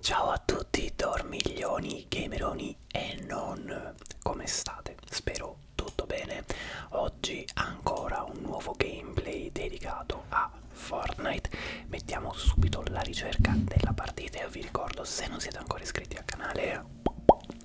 Ciao a tutti dormiglioni, gameroni e non, come state? Spero tutto bene. Oggi ancora un nuovo gameplay dedicato a Fortnite. Mettiamo subito la ricerca della partita e vi ricordo se non siete ancora iscritti al canale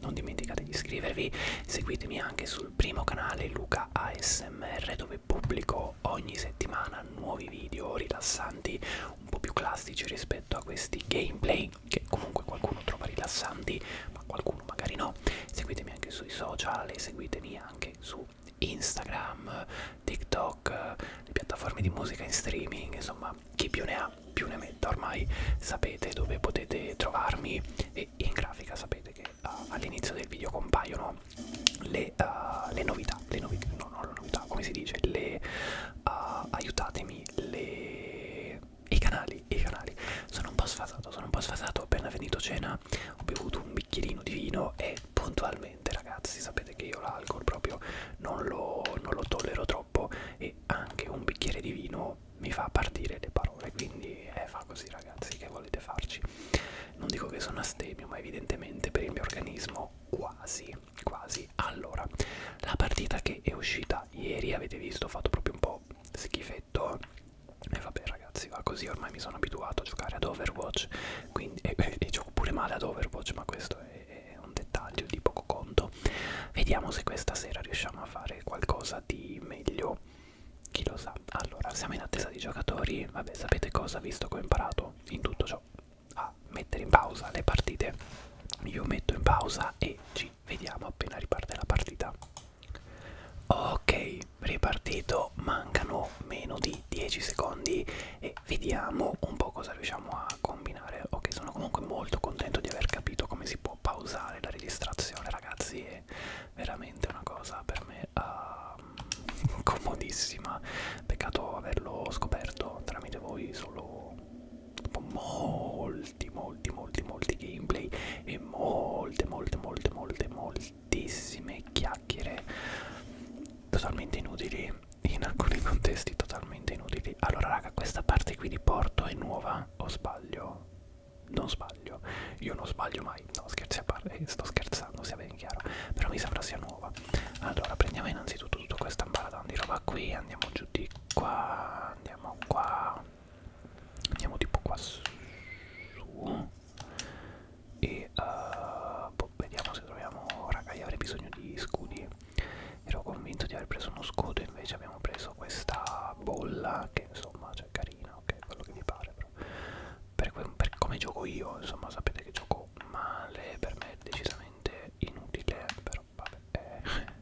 non dimenticate di iscrivervi, seguitemi anche sul primo canale Luca ASMR dove pubblico usciranno ogni settimana nuovi video rilassanti un po' più classici rispetto a questi gameplay che comunque qualcuno trova rilassanti ma qualcuno magari no seguitemi anche sui social e seguitemi anche su Instagram, TikTok, le piattaforme di musica in streaming, insomma chi più ne ha più ne metta, ormai sapete dove potete trovarmi e in grafica sapete che ah, all'inizio del video compaiono le, uh, le novità, le novità, no, no, le novità, come si dice, le, uh, aiutatemi, le, i canali, i canali. Sono un po' sfasato, sono un po' sfasato, ho appena finito cena, ho bevuto un bicchierino di vino e puntualmente ragazzi sapete che io l'alcol proprio non lo, non lo tollero troppo e anche un bicchiere di vino mi fa partire le parole, quindi eh, fa così ragazzi che volete farci non dico che sono astemio ma evidentemente per il mio organismo quasi quasi allora la partita che è uscita ieri avete visto ho fatto proprio un po' schifetto e vabbè ragazzi va così ormai mi sono abituato a giocare ad overwatch quindi, e, e, e gioco pure male ad overwatch ma questo è, è un dettaglio di poco conto vediamo se questa sera riusciamo a fare qualcosa di meglio chi lo sa? Allora, siamo in attesa di giocatori. Vabbè, sapete cosa, visto che ho imparato in tutto ciò a mettere in pausa le partite. Io metto in pausa e ci vediamo appena riparte la partita. Ok, ripartito, mancano meno di 10 secondi e vediamo un po' cosa riusciamo a combinare. Ok, sono comunque molto contento di aver capito come si può pausare la registrazione, ragazzi. E veramente una cosa per me uh, comodissima peccato averlo scoperto tramite voi solo dopo molti molti molti molti gameplay e molte molte molte molte moltissime chiacchiere totalmente inutili in alcuni contesti totalmente inutili allora raga questa parte qui di porto è nuova o sbaglio non sbaglio, io non sbaglio mai mai no scherzi a parte eh, sto scherzando sia ben chiaro però mi sembra sia nuova allora prendiamo innanzitutto tutta questa ambarata di roba qui andiamo giù di qua andiamo qua andiamo tipo qua su e uh, boh, vediamo se troviamo raga io avrei bisogno di scudi ero convinto di aver preso uno scudo invece abbiamo preso questa bolla che insomma cioè carina ok quello che vi pare però per, per come gioco io insomma sapete che gioco male per me è decisamente inutile però vabbè eh,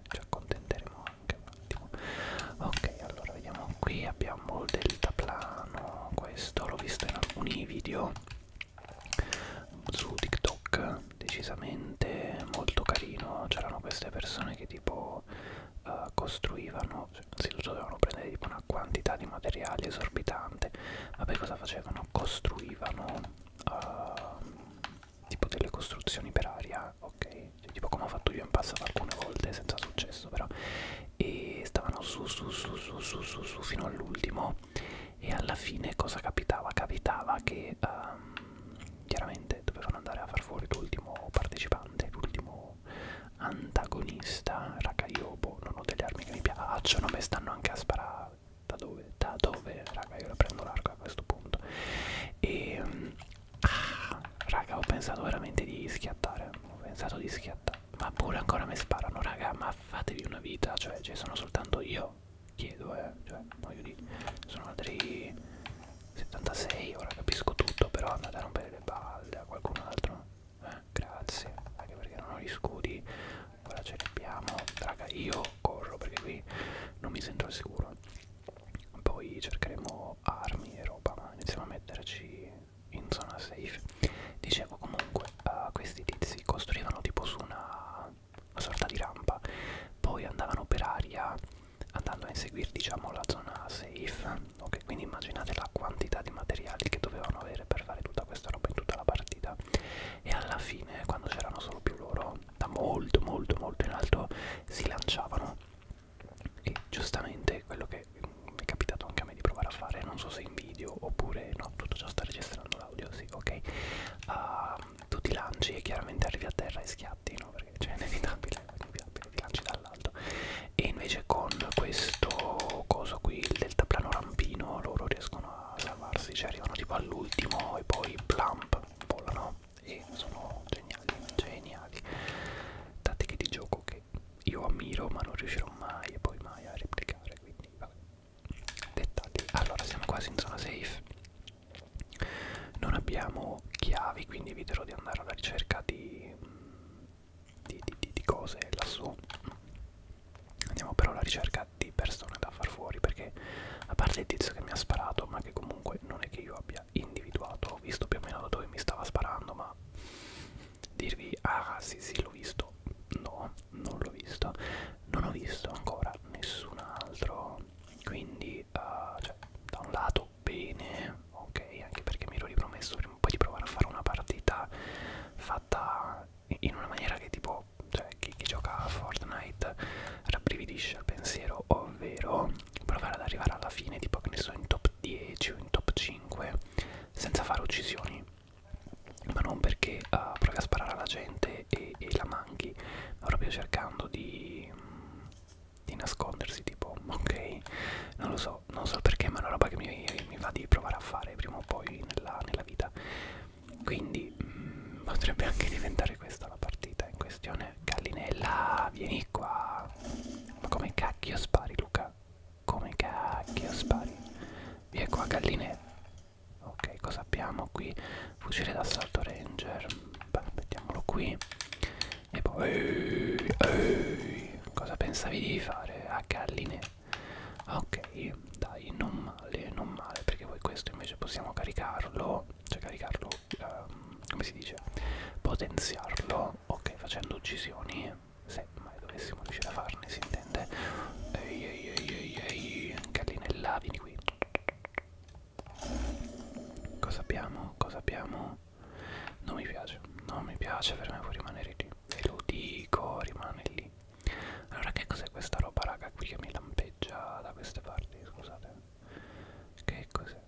ci accontenteremo anche un attimo ok allora vediamo qui abbiamo il deltaplano questo l'ho visto in alcuni video su tiktok decisamente molto carino c'erano queste persone che tipo uh, costruivano cose. Anzitutto dovevano prendere tipo una quantità di materiali esorbitante. Ma poi cosa facevano? Costruivano uh, tipo delle costruzioni per aria, ok? Cioè, tipo come ho fatto io in passato alcune volte senza successo però. E stavano su su su su su su, su fino all'ultimo. E alla fine cosa capitava? Capitava che um, chiaramente dovevano andare a far fuori l'ultimo partecipante, l'ultimo antagonista raga io boh, non ho delle armi che mi piacciono mi stanno anche a sparare da dove da dove raga io la prendo l'arco a questo punto e ehm, ah, raga ho pensato veramente di schiattare ho pensato di schiattare ma pure ancora mi sparano raga ma fatevi una vita cioè ci sono soltanto io chiedo eh cioè voglio dire sono altri 76 ora capisco tutto però andate a rompere le balle a qualcun altro Grazie, anche perché non ho gli scudi. Ora ce li abbiamo. Raga, io corro perché qui non mi sento al sicuro. Poi cercheremo armi e roba, ma iniziamo a metterci in zona safe. Dicevo comunque, uh, questi tizi costruivano tipo su una, una sorta di rampa, poi andavano per aria andando a inseguire diciamo la zona safe, ok? coppe quindi immaginate la quantità di materiali che dovevano avere per fare tutta questa roba in tutta la partita e alla fine quando c'erano solo più loro da molto molto molto in alto si lanciavano e giustamente quello che mi è capitato anche a me di provare a fare non so se in video oppure no tutto ciò sta registrando l'audio sì ok uh, tu ti lanci e chiaramente arrivi a terra e schiatti no perché cioè è inevitabile quindi ti lanci dall'alto e invece con questo coso qui il deltaplano rampino loro riescono a salvarsi cioè arrivano tipo all'ultimo e poi plump volano e sono geniali geniali tattiche di gioco che io ammiro ma non riuscirò mai e poi mai a replicare quindi vabbè dettagli allora siamo quasi in zona safe non abbiamo chiavi quindi eviterò di andare alla ricerca di di, di, di cose lassù andiamo però alla ricerca di persone da far fuori perché a parte il tizio che mi ha sparato ma che comunque non è che io abbia individuato ho visto più o meno da dove mi stava sparando ma dirvi ah sì sì l'ho visto no non l'ho visto non ho visto ancora nessun altro quindi uh, cioè, da un lato bene ok anche perché mi ero ripromesso prima o poi di provare a fare una partita fatta in una maniera che tipo cioè chi, chi gioca a Fortnite rabbrividisce al pensiero ovvero provare ad arrivare alla fine tipo che ne so in top 10 o in top 5 senza fare uccisioni ma non perché uh, provi a sparare alla gente e, e la manchi ma proprio cercando di, mm, di nascondersi tipo ok non lo so so, non so perché, ma è una roba che mi, mi va di provare a fare prima o poi nella, nella vita. Quindi mh, mm, potrebbe anche diventare questa la partita in questione. Gallinella, vieni qua. Ma come cacchio spari, Luca? Come cacchio spari? Via qua, gallinella. Ok, cosa abbiamo qui? Fucile d'assalto ranger. Beh, mettiamolo qui. E poi... Ehi, ehi, cosa pensavi di fare a galline? ok dai non male non male perché poi questo invece possiamo caricarlo cioè caricarlo um, come si dice potenziarlo ok facendo uccisioni se mai dovessimo riuscire a farne si intende ehi ehi ehi ehi ehi gallinella vieni qui cosa abbiamo cosa abbiamo non mi piace non mi piace per me può rimanere lì ve lo dico rimane lì allora che cos'è questa roba raga qui che mi lampeggia da queste parti? Scusate Che cos'è?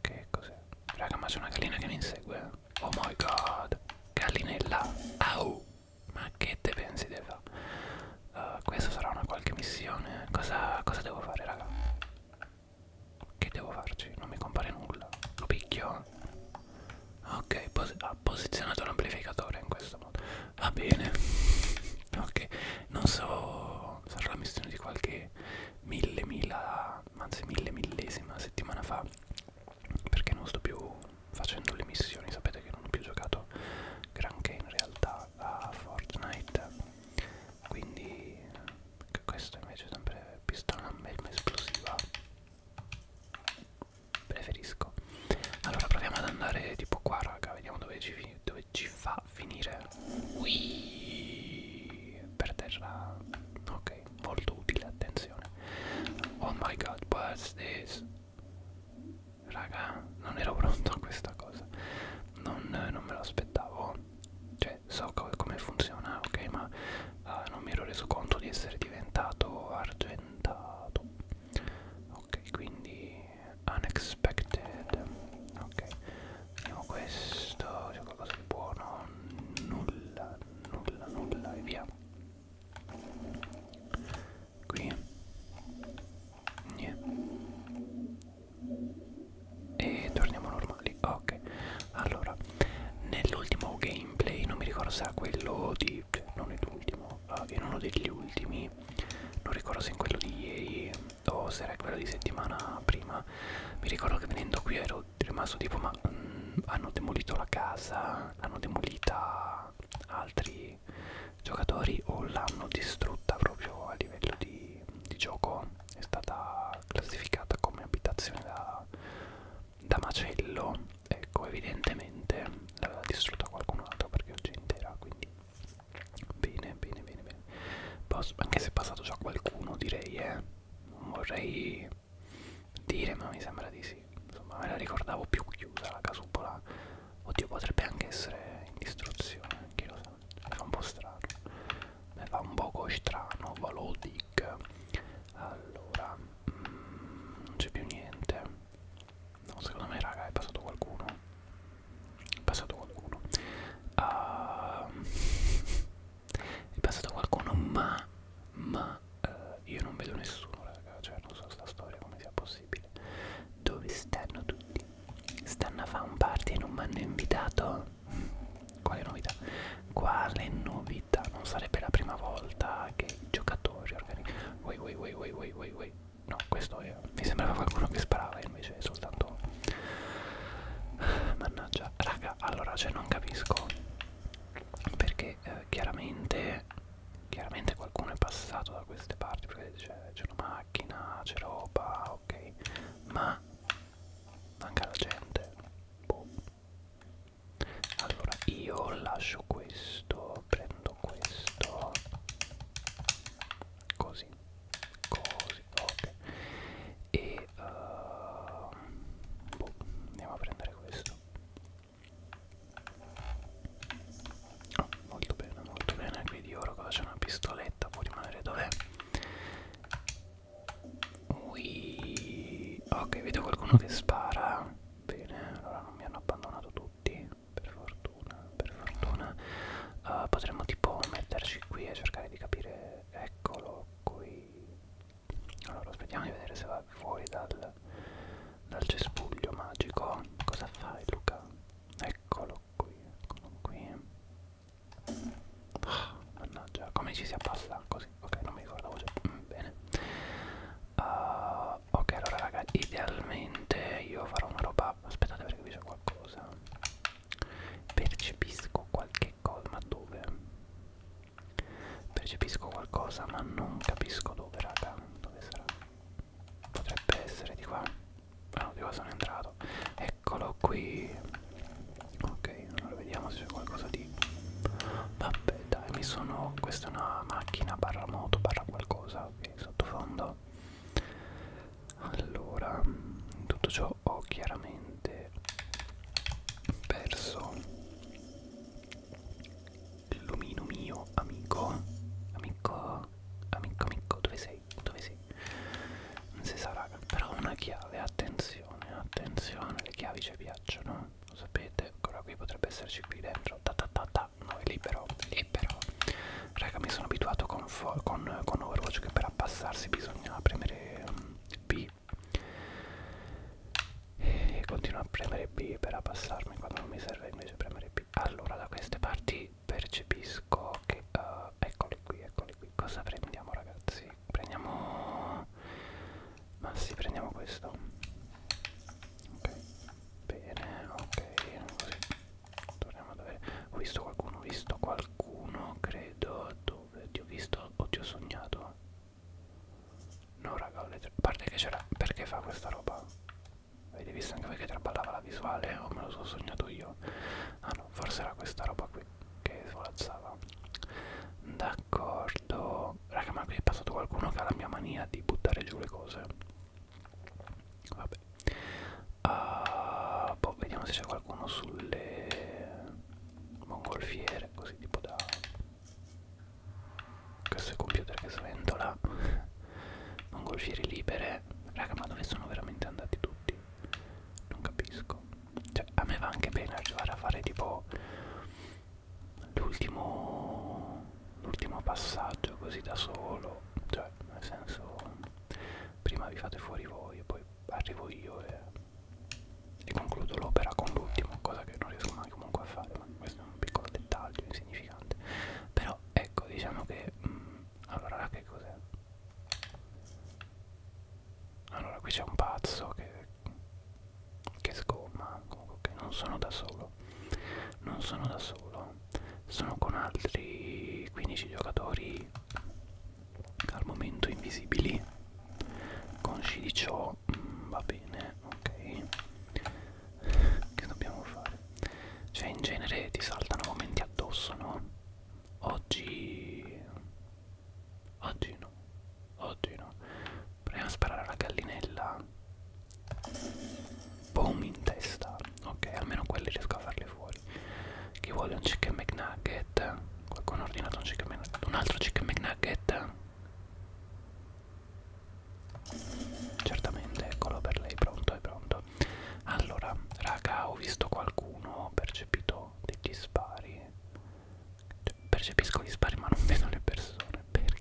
Che cos'è? Raga ma c'è una gallina che mi insegue eh. Oh my god Gallinella Au Ma che te pensi di fare? Uh, questa sarà una qualche missione Cosa, cosa devo fare raga? Che devo farci? Non mi compare nulla Lo picchio? Ok, va posizionato l'amplificatore in questo modo va bene ok non so sarà la missione di qualche mille mila anzi mille millesima settimana fa perché non sto più facendo le missioni sapete che non ho più giocato granché in realtà a Fortnite quindi questo invece è sempre pistola a melma esplosiva preferisco allora proviamo ad andare tipo qua raga vediamo dove ci, dove ci fa finire Ui, per terra ok molto utile attenzione oh my god what's this raga non ero pronto a questa cosa non, non me lo aspettavo cioè so co come funziona ok ma uh, non mi ero reso conto di essere diventato argentino rallentato ok quindi unexpected ok vediamo questo c'è qualcosa di buono nulla nulla nulla e via qui niente e torniamo normali ok allora nell'ultimo gameplay non mi ricordo se era quello di cioè non è l'ultimo primo uh, eh, in uno degli ultimi non ricordo se in quello di ieri o se era quello di settimana prima mi ricordo che venendo qui ero rimasto tipo ma mm, hanno demolito la casa l'hanno demolita altri giocatori o l'hanno distrutta proprio a livello di, di gioco è stata classificata come abitazione da, da macello ecco evidentemente l'aveva distrutta qualcun altro perché oggi è intera quindi bene bene bene bene Posso, anche se è passato già qualcuno direi eh non vorrei dire ma mi sembra di sì insomma me la ricordavo più chiusa la casupola oddio potrebbe anche essere in distruzione chi lo sa mi fa un po' strano mi fa un poco strano valodic allora mm, non c'è più niente No, secondo me, raga, è passato qualcuno. È passato qualcuno. Uh, è passato qualcuno, ma, ma uh, io non vedo nessuno, raga. Cioè, non so sta storia come sia possibile. Dove stanno tutti? Stanno a fare un party e non mi hanno invitato? Quale novità? Quale novità? Non sarebbe la prima volta anche i giocatori organizzati. Wait, wait, wait, wait, wait, wait, wait. No, questo è... Eh, mi sembrava qualcuno che sparava, invece è soltanto... Mannaggia, raga, allora, cioè non capisco perché eh, chiaramente, chiaramente qualcuno è passato da queste parti perché eh, c'è una macchina, c'è roba, ok, ma manca la gente, boh, allora io lascio questo prendo questo così così ok e uh, boh, andiamo a prendere questo oh, molto bene molto bene qui di oro cosa c'è una pistoletta può rimanere dov'è Ui. ok vedo qualcuno che spara Bene, allora non mi hanno abbandonato tutti, per fortuna, per fortuna. Uh, potremmo tipo metterci qui e cercare di capire, eccolo qui. Allora aspettiamo di vedere se va fuori dal, dal cespuglio magico. Cosa fai Luca? Eccolo qui, eccolo qui. Ah, mannaggia, come ci si appalla? Così, ok, non mi ricordavo già. Mm, bene. Uh, roba ok allora raga idealmente io farò una roba aspettate perché qui c'è qualcosa percepisco qualche cosa ma dove percepisco qualcosa ma non capisco dove raga dove sarà potrebbe essere di qua ah no di qua sono entrato eccolo qui ok allora vediamo se c'è qualcosa di bah vabbè dai mi sono questa è una macchina barra moto barra qualcosa che okay, sottofondo allora in tutto ciò ho chiaramente perso l'omino mio amico amico amico amico dove sei dove sei non si sa raga però una chiave attenzione attenzione le chiavi ci piacciono lo sapete ancora qui potrebbe esserci qui dentro ta ta ta ta ma no, è libero, è libero. Raga, mi sono abituato con, con, con Overwatch che per abbassarsi bisogna premere um, B. E continuo a premere B per abbassarmi quando non mi serve invece premere B. Allora, da queste parti percepisco che... Uh, eccoli qui, eccoli qui. Cosa prendiamo ragazzi? Prendiamo... Ma sì, prendiamo questo. Ok. Bene, ok, così torniamo ad avere. Ho visto qualcuno, ho visto qualcuno, credo. Dove ti ho visto o ti ho sognato? No, raga, ho le tre. A parte che c'era. Perché fa questa roba? Avete visto anche voi che traballava la visuale? O me lo sono sognato io? Ah no, forse era questa roba qui che svolazzava. D'accordo, raga ma qui è passato qualcuno che ha la mia mania di buttare giù le cose vabbè uh, boh, vediamo se c'è qualcuno sulle mongolfiere così tipo da questo è il computer che sventola mongolfiere libere raga ma dove sono veramente andati tutti non capisco cioè a me va anche bene arrivare a fare tipo l'ultimo l'ultimo passaggio così da solo cioè nel senso prima vi fate fuori voi e poi arrivo io e, e concludo l'opera con l'ultimo cosa che non riesco mai comunque a fare ma questo è un piccolo dettaglio insignificante però ecco diciamo che mh, mm, allora che cos'è allora qui c'è un pazzo che che sgomma comunque non sono da solo solo non sono da solo sono con altri 15 giocatori al momento invisibili consci di ciò mm, va bene ok che dobbiamo fare cioè in genere ti saltano momenti addosso no oggi oggi no oggi no proviamo a sparare alla gallinella boom in testa ok almeno quelli riesco a farli fuori chi vuole un chicken mcnugget qualcuno ha ordinato un chicken mcnugget un altro chicken mcnugget certamente eccolo per lei pronto è pronto allora raga ho visto qualcuno ho percepito degli spari percepisco gli spari ma non vedo le persone per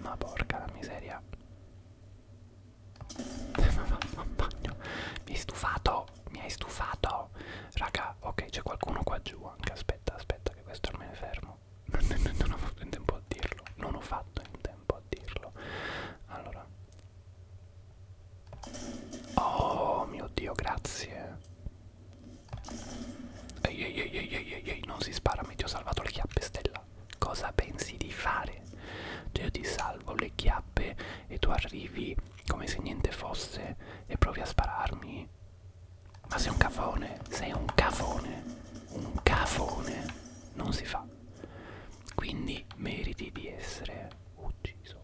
ma porca la miseria. bagno. Mi hai stufato. Mi hai stufato. Raga, ok, c'è qualcuno qua giù anche. Aspetta, aspetta, che questo me ne fermo. Non, non, non ho fatto in tempo a dirlo. Non ho fatto in tempo a dirlo. Allora. Oh mio dio, grazie. Ehi, ehi, ehi, ehi, ehi, ehi, non si spara, mi ti ho salvato le chiappe, Stella. Cosa pensi di fare? Cioè, io ti salvo le chiappe e tu arrivi come se niente fosse e provi a spararmi. Ma sei un cafone, sei un cafone, un cafone. Non si fa. Quindi meriti di essere ucciso.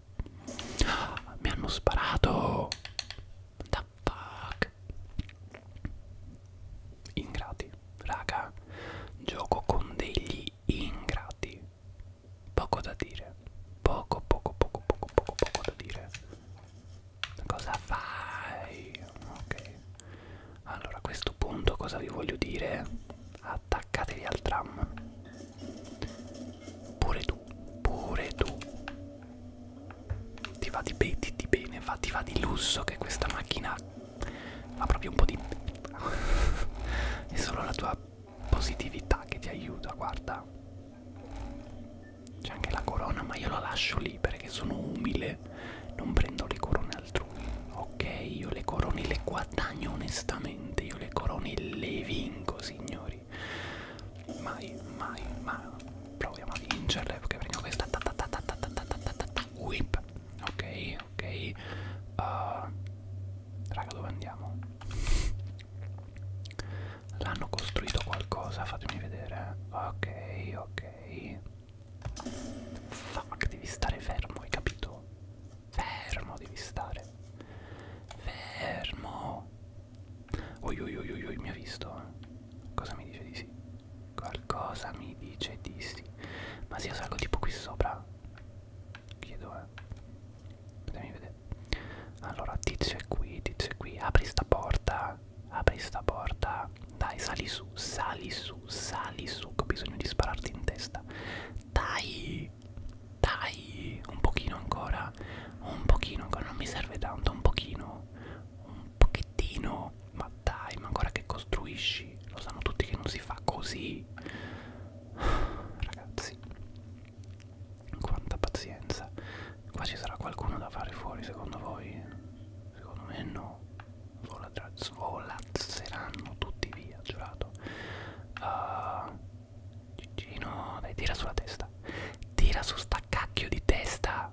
Ah, mi hanno sparato the fuck Ingrati Raga Gioco con degli ingrati Poco da dire Poco poco poco poco poco poco da dire Cosa fai? Ok Allora a questo punto cosa vi voglio dire? Attaccatevi al tram Pure tu Pure tu ti va di, be ti, ti bene, va, ti va di lusso che questa macchina ha proprio un po' di... è solo la tua positività che ti aiuta, guarda. C'è anche la corona, ma io la lascio lì perché sono umile, non prendo le corone altrui. Ok, io le corone le guadagno onestamente, io le corone le vinco, signori. Mai, mai, mai proviamo a vincerle perché prendiamo questa whip ok ok uh, raga dove andiamo l'hanno costruito qualcosa fatemi vedere ok ok fuck devi stare fermo hai capito fermo devi stare fermo oi oi oi oi mi ha visto cosa mi dice di sì Qualcosa mi dice di sì. Ma se io salgo tipo qui sopra, chiedo eh. Fatemi vedere. Allora, tizio è qui, tizio è qui. Apri sta porta. Apri sta porta. Dai, sali su, sali su, sali su. Che ho bisogno di spararti in testa. Dai, dai. Un pochino ancora. Un pochino ancora. Non mi serve tanto. Un pochino. Un un pochettino, ma dai, ma ancora che costruisci, lo sanno tutti che non si fa così. Ragazzi, quanta pazienza. Qua ci sarà qualcuno da fare fuori secondo voi? Secondo me no. Svolazzeranno tutti via, giurato. Uh, Gigino, dai, tira sulla testa. Tira su sta cacchio di testa.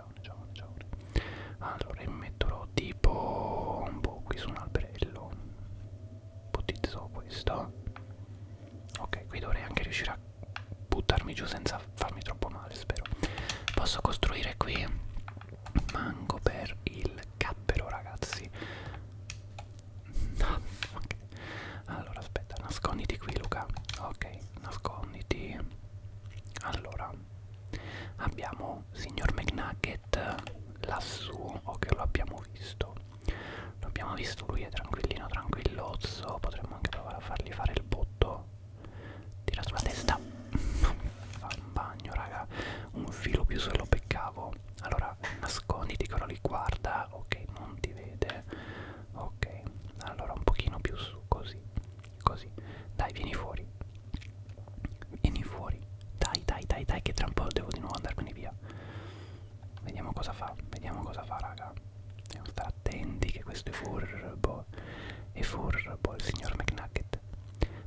giorni, giorni, giorni. Allora io mi metterò tipo un po' qui su un alberello. Bottizzò questo. Ok, qui dovrei anche riuscire a buttarmi giù senza farmi troppo male, spero. Posso costruire qui mango per il cappero, ragazzi. ok. Allora aspetta, nasconditi qui Luca. Ok, nasconditi allora abbiamo signor McNugget lassù ok lo abbiamo visto lo abbiamo visto lui è tranquillino tranquillozzo potremmo anche provare a fargli fare il botto tira sulla testa fa un bagno raga un filo più se lo beccavo allora nasconditi che lo riguarda ok non ti vede ok allora un pochino più su così Così, dai, vieni fuori. Vieni fuori. Dai, dai, dai, dai, che tra un po' devo di nuovo andarmene via. Vediamo cosa fa, vediamo cosa fa, raga. Devo stare attenti che questo è furbo. È furbo il signor McNugget.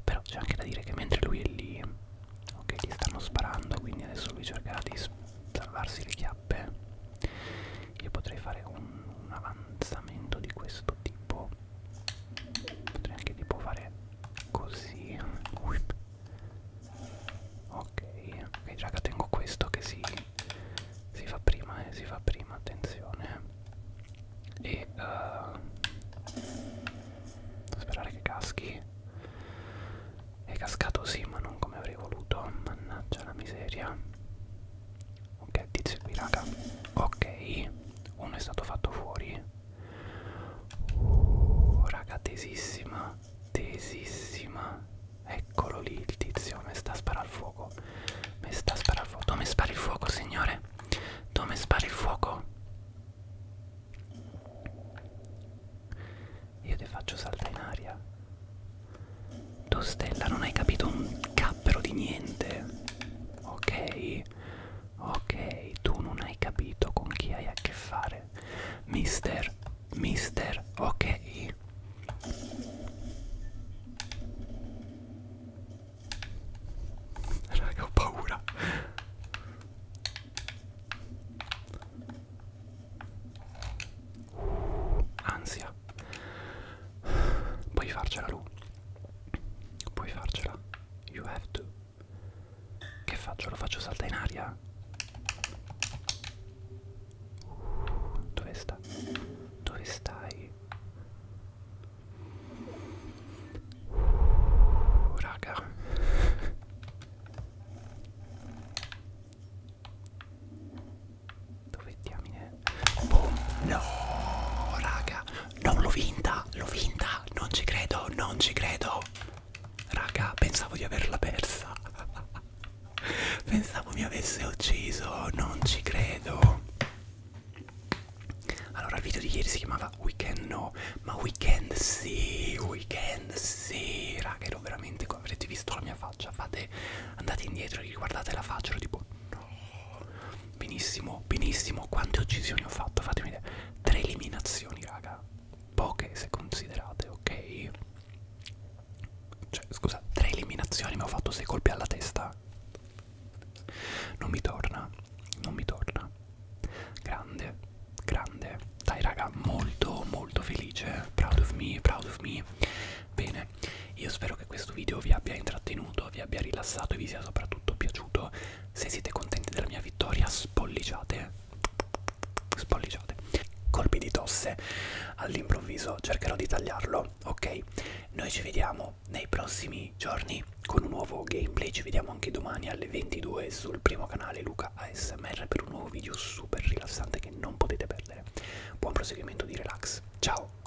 Però c'è anche da dire che mentre lui è lì, ok, gli stanno sparando, quindi adesso lui cercherà di salvarsi le chiappe io potrei fare un, un avanzamento di questo tipo potrei anche tipo fare così Uip. ok ok raga tengo questo che si si fa prima eh, si fa prima attenzione e uh, sperare che caschi è cascato sì ma non come avrei voluto mannaggia la miseria Ok, tizio qui raga. Ok, uno è stato fatto fuori. Uh, raga, tesissima, tesissima. Eccolo lì il tizio, mi sta a sparare al fuoco. Mi sta a sparare al fuoco. Dove spari il fuoco, signore? Dove spari il fuoco? Io ti faccio saltare in aria. Tu stella non hai capito un cappero di niente Ok Ok tu non hai capito con chi hai a che fare Mister Mister ok Raga ho paura uh, Ansia Puoi farcela Lu Puoi farcela You have to Che faccio? Lo faccio saltare in aria? Uh, dove sta? Dove stai? Uh, raga dove diamine? Oh, no, raga, non l'ho vinta, l'ho vinta, non ci credo, non ci credo. Raga, pensavo di averla persa. Pensavo mi avesse ucciso, non ci credo. Allora, il video di ieri si chiamava Weekend No, ma Weekend sì, Weekend sì. Raga, ero veramente, come avrete visto la mia faccia, fate, andate indietro e riguardate la faccia, ero tipo... No. Benissimo, benissimo. Quante uccisioni ho fatto? Fatemi vedere. Tre eliminazioni, raga. Poche se considerate, ok? Cioè, scusa, tre eliminazioni mi ho fatto sei colpi alla testa. Non mi torna, non mi torna. Grande, grande. Dai raga, molto molto felice. Proud of me, proud of me. Bene, me. Io spero che questo video vi abbia intrattenuto, vi abbia rilassato e vi sia soprattutto piaciuto. Se siete contenti della mia vittoria, spolliciate, spolliciate. Colpi di tosse all'improvviso, cercherò di tagliarlo, ok? Noi ci vediamo nei prossimi giorni con un nuovo gameplay, ci vediamo anche domani alle 22 sul primo canale Luca ASMR per un nuovo video super rilassante che non potete perdere. Buon proseguimento di relax, ciao!